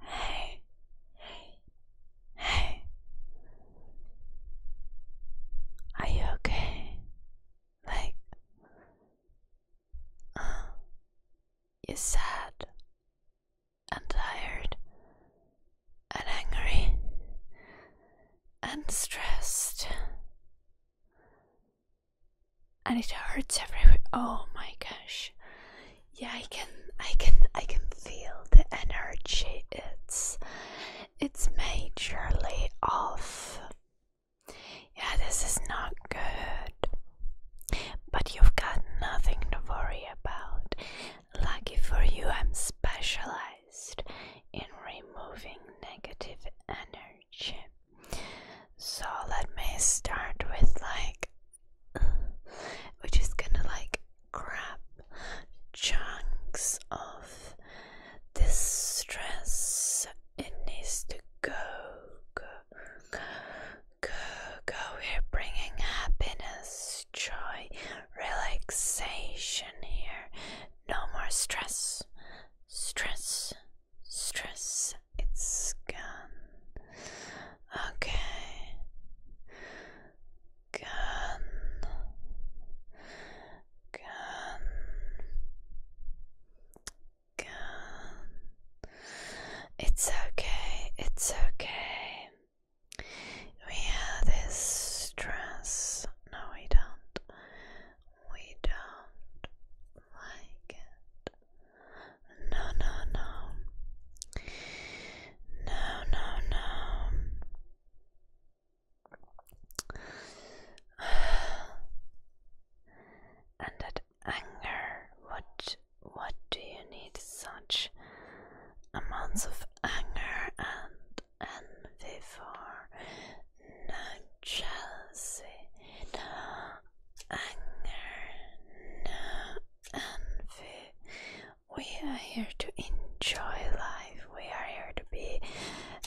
Hey, hey, hey. Are you okay? Like, um, you're sad and tired and angry and stressed. And it hurts everywhere. Oh my gosh yeah i can i can i can feel the energy it's it's majorly off yeah this is not good but you've got nothing to worry about lucky for you i'm specialized in removing negative energy so let me start with like we're just gonna like grab chunks of this stress. It needs to go, go, go, go, go. We're bringing happiness, joy, relaxation here. No more stress, stress, stress it's gun. Okay. Gun. Gun. Gun. It's okay. It's okay. We have this stress. No, we don't. We don't like it. No, no, no. No, no, no. And that anger, what what do you need such amounts of anger and envy for? No jealousy, no anger, no and we, are here to enjoy life. We are here to be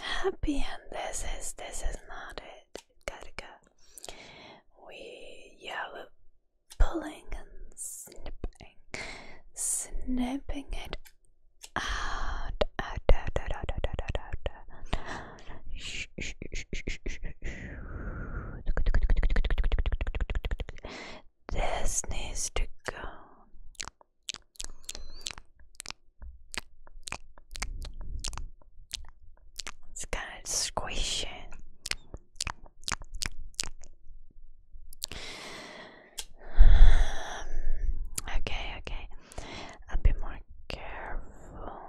happy, and this is this is not it. Karika. We yeah, we're pulling and snipping, snipping it out, out, out, out, out, out, out, out, out. Shh, shh, shh, shh, shh. This needs to go. It's kind of squishing. Okay, okay. I'll more careful.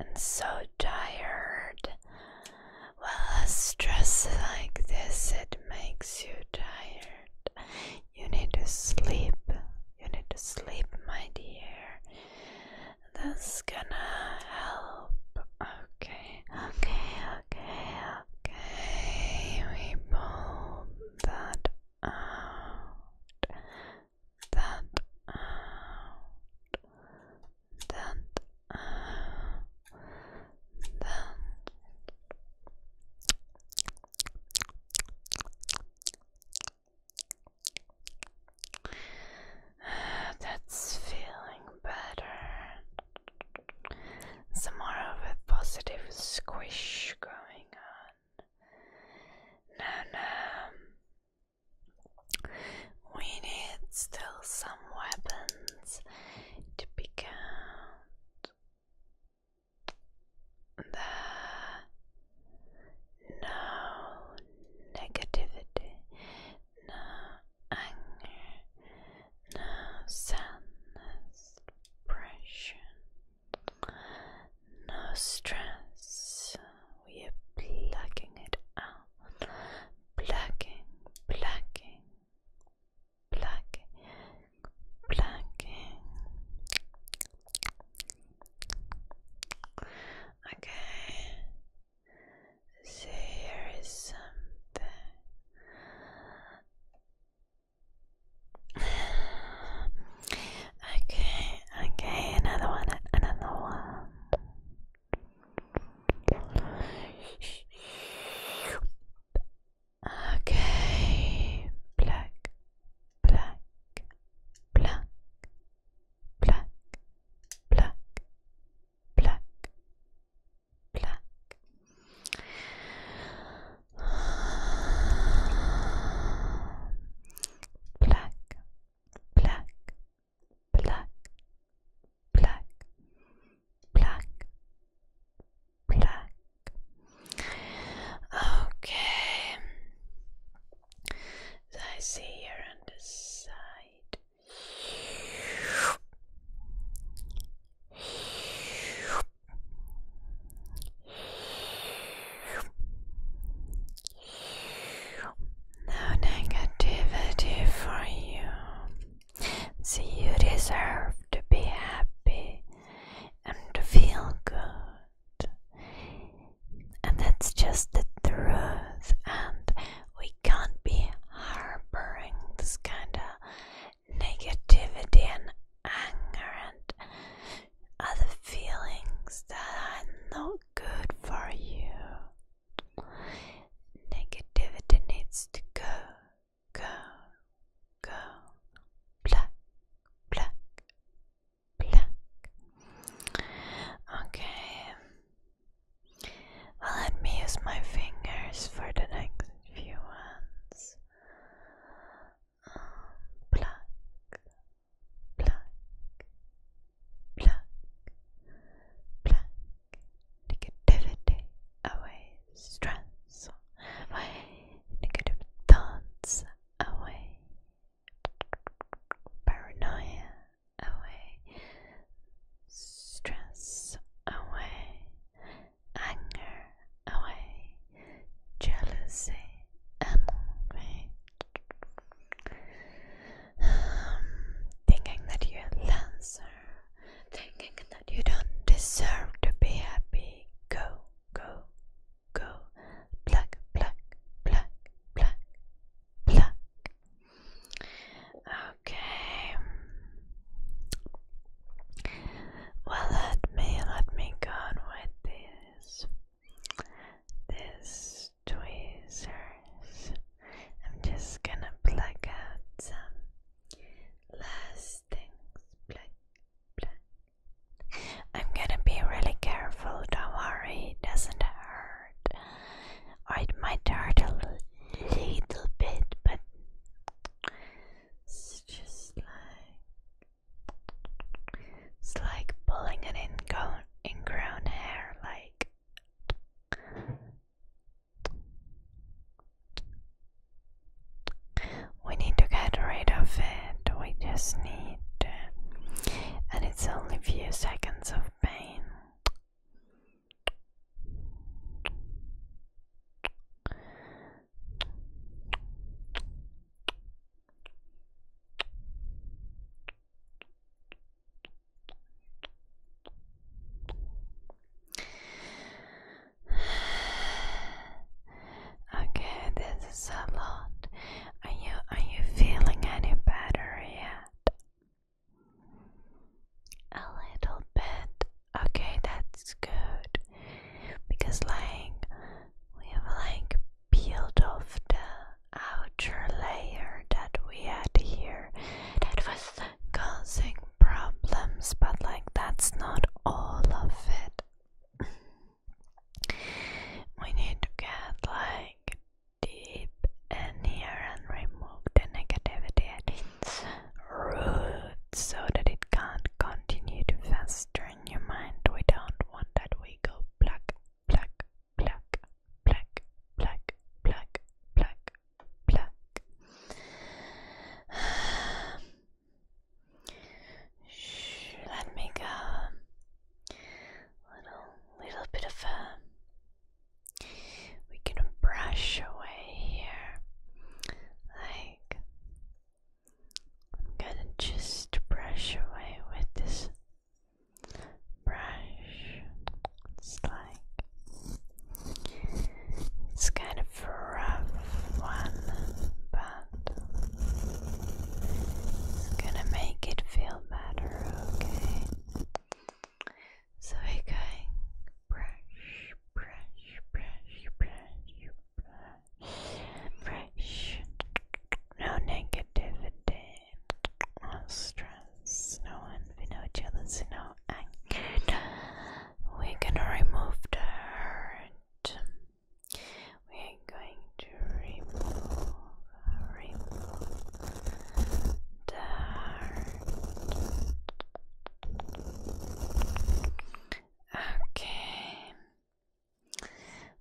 I'm so tired. Well, stress like this, it makes you tired. You need to sleep. You need to sleep, my dear. That's gonna help. Okay, okay, okay, okay. We pull that out that out, that That's feeling better. Some more of a positive squish going on. Now, now, we need still some weapons to pick out the no negativity, no anger, no sadness, depression, no stress. We are plucking it out. Plucking, plucking, plucking, plucking. Okay. So here is something. Okay, okay, another one, another one. Okay, black, black, black, black, black, black, black. Black, black, black, black, black, black. Okay, I see here on the side. No negativity for you. See, you deserve to be happy and feel good. And that's just the truth, and we can't be harboring this kind of negativity and anger and other feelings that are not good for you. Negativity needs to go, go, go. Black, black, black. Okay. let me use my fingers for the next few ones. black, um, pluck, pluck, pluck. Negativity away, stress away, negative thoughts away, paranoia away, stress away, anger away, jealousy away, thinking that you're a loser, thinking that you don't deserve to be happy. Go, go, go, black, black, black, black, black. Okay. Well, let me let me go with this. This tweezers. I'm just gonna pluck out some last things. I'm gonna be really careful, don't worry, it doesn't hurt. Or it might hurt a little bit, but it's just like it's like pulling an ingrown, ingrown hair, like we need to get rid of it, we just need to. And it's only a few seconds of pain. Okay, this is a lot. Are you are you feeling any better yet? A little bit. Okay, that's good. Because like we have like peeled off the outer layer that we had here that was causing problems, but like that's not all of it. we need to get like deep in here and remove the negativity at its root so that it can't continue to fester in your mind. We don't want that we go black, black, black, black, black, black, black, black. let me go. Little, little bit of a. Uh, we can brush away here. Like, I'm gonna just brush away with this brush. It's like it's kind of a rough one, but gonna make it feel better, okay? So we're brush, brush, brush, brush, brush, brush. No negativity no stress, no envy, no jealousy, no anger. We're gonna remove the hurt. We're going to remove, remove the Okay.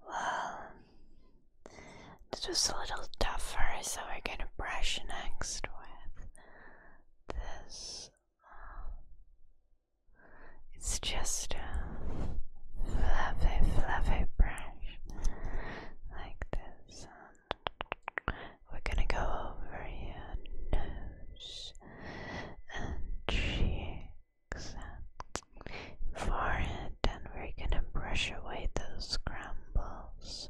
Well, this was a little tougher, so we're gonna brush next with this. It's just a fluffy, fluffy brush like this. And we're gonna go over your nose and cheeks forehead, and we're gonna brush away those crumbles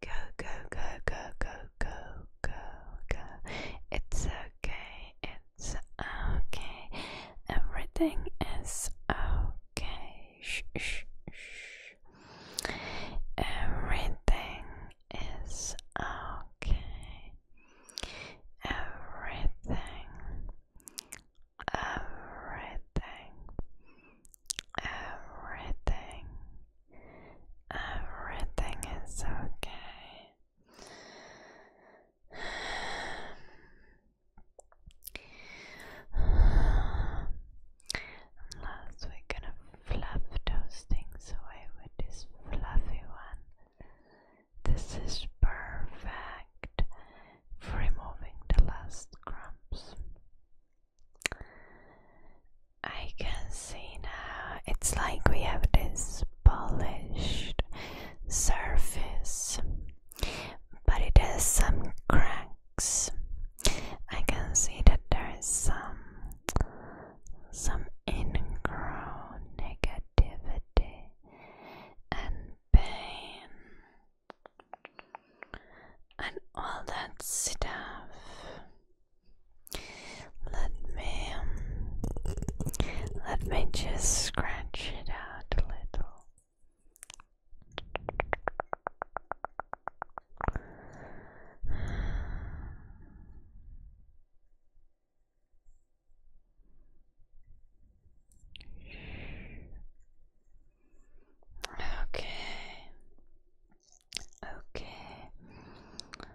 Go, go, go, go, go, go, go, go. It's okay, it's okay. Everything is okay. Shh, shh, shh. Everything is okay. Everything. Everything. Everything Everything is okay. Unless we're gonna fluff those things away with this fluffy one. This is perfect for removing the last crumbs. I can see now. It's like we have this polished surface, but it has some cracks. I can see that there is some some ingrown negativity and pain and all that stuff. Let me um, let me just scratch it out a little. Okay. Okay.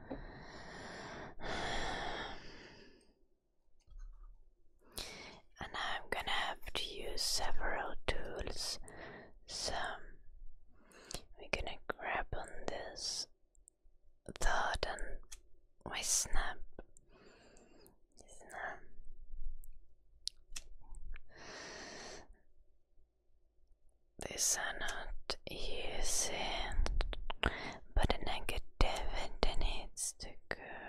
And I'm gonna have to use several tools. So we're gonna grab on this thought and my snap. Snap. These are not easy, but the negativity needs to go.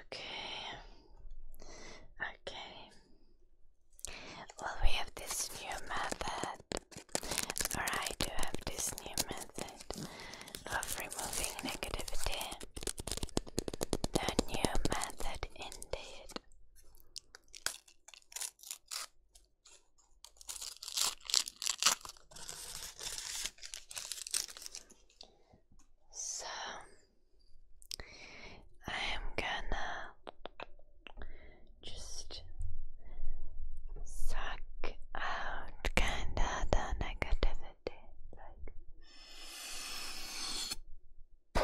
Okay, okay. Well, we have this new method, or I have this new method of removing negativity. The new method, indeed. So I am gonna just suck out kinda the negativity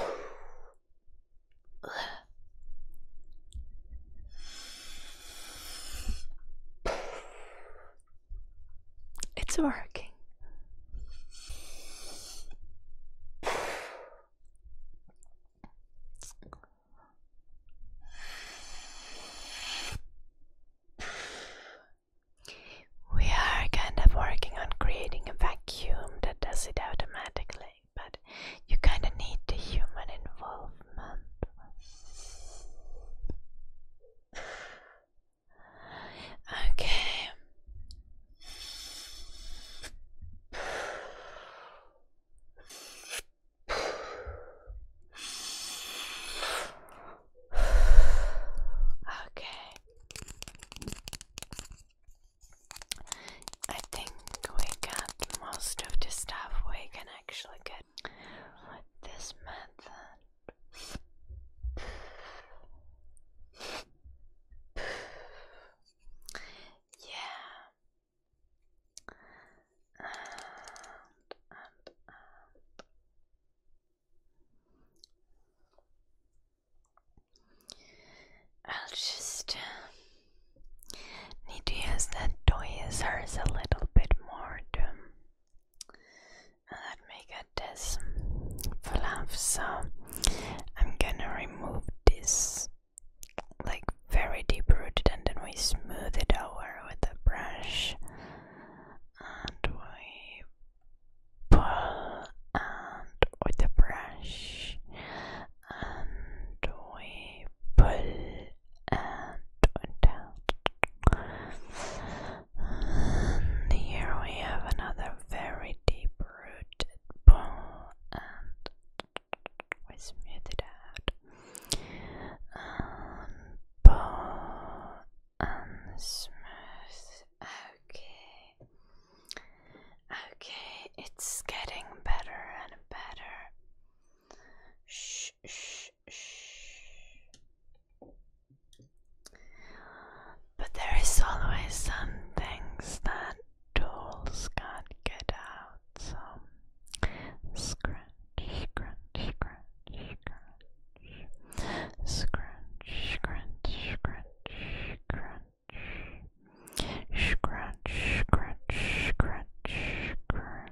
like it's working. We are kind of working on creating a vacuum that does it automatically but you kind of need the human involvement. okay. Okay. I think we got most of the stuff we can actually get with this method. yeah. I'll just um, need to use that toy as SRS a little bit more to let me get this for love. So I'm gonna remove this like very deep rooted and then we smooth it over with a brush and we pull and with the brush and we pull and down. here we have another very deep rooted bone, and we smooth it out. pull and smooth. Okay, Okay, it's getting better and better. Shh, shh, shh. But there is always some things that tools can't get out. So scratch, scratch, scratch, scratch, scratch, scratch, scratch, scratch scratch, scratch, scratch, scratch, scratch,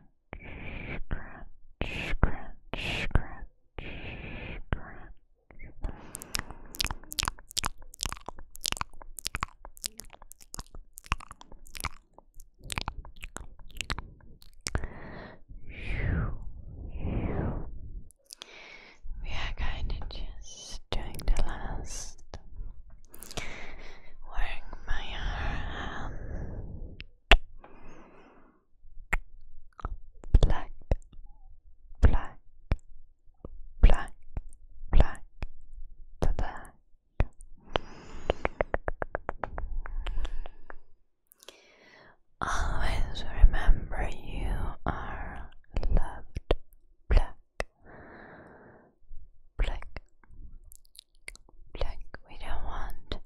scratch, scratch, scratch. We are kind of just doing the last wearing my black, black, black, black, black. Always remember you are loved, Black. Black. We don't want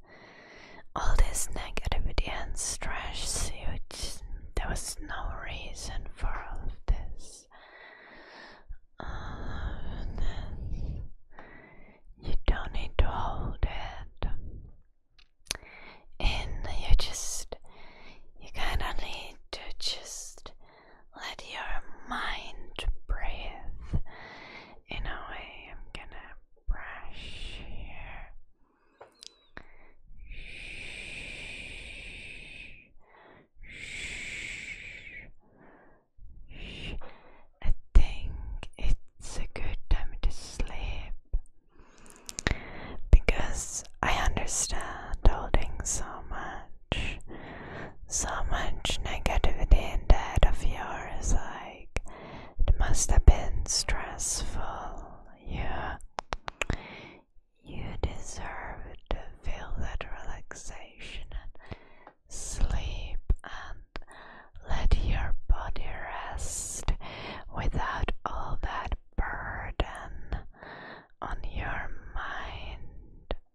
all this negativity and stress. You there was no reason for all of this. Uh, you don't need to hold it and You just, you kind of need to just let your mind breathe. In I'm gonna brush here. I think it's a good time to sleep because I understand holding so much so much negativity in that of yours. Like it must have been stressful. Yeah, you deserve to feel that relaxation and sleep and let your body rest without all that burden on your mind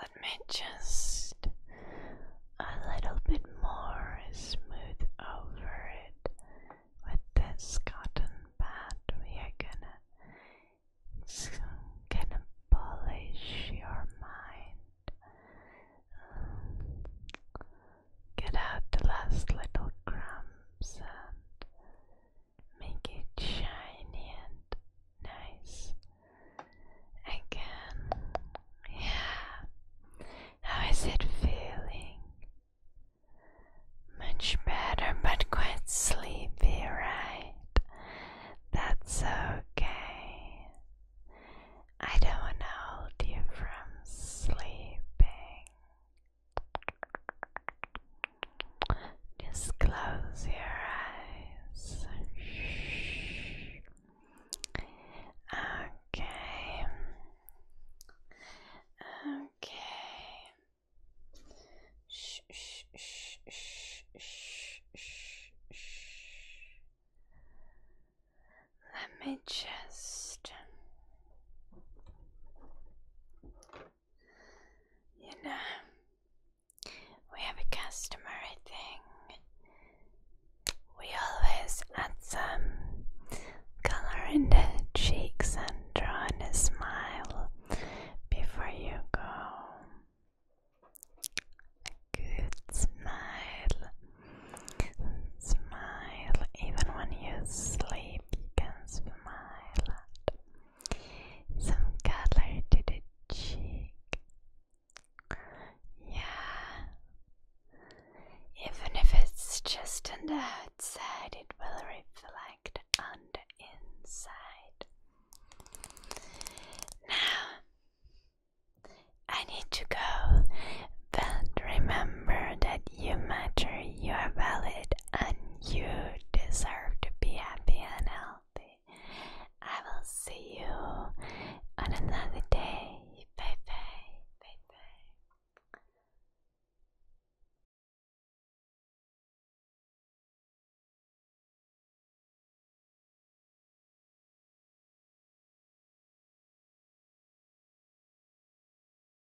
Let me just a little bit more smooth over it with this cotton pad. We are gonna, gonna polish your mind. Um, get out the last little crumbs and make it shiny and nice again. Yeah, how is it feeling? Much better, but quite sleepy, right? That's okay. I don't want to hold you from sleeping. Just close your eyes. Okay. Okay. shh, shh, shh, shh, shh, shh. Let me just you know, we have a customary thing. We always add some color in the cheeks and draw a smile before you go. good smile. Smile even when you sleep you can smile Some color to the cheek. Yeah. Even if it's just on the outside, it will reflect on the inside. Now, I need to go, but remember that you matter, you are valid, and you deserve to be happy and healthy. I will see you on another day. Bye bye. Bye bye.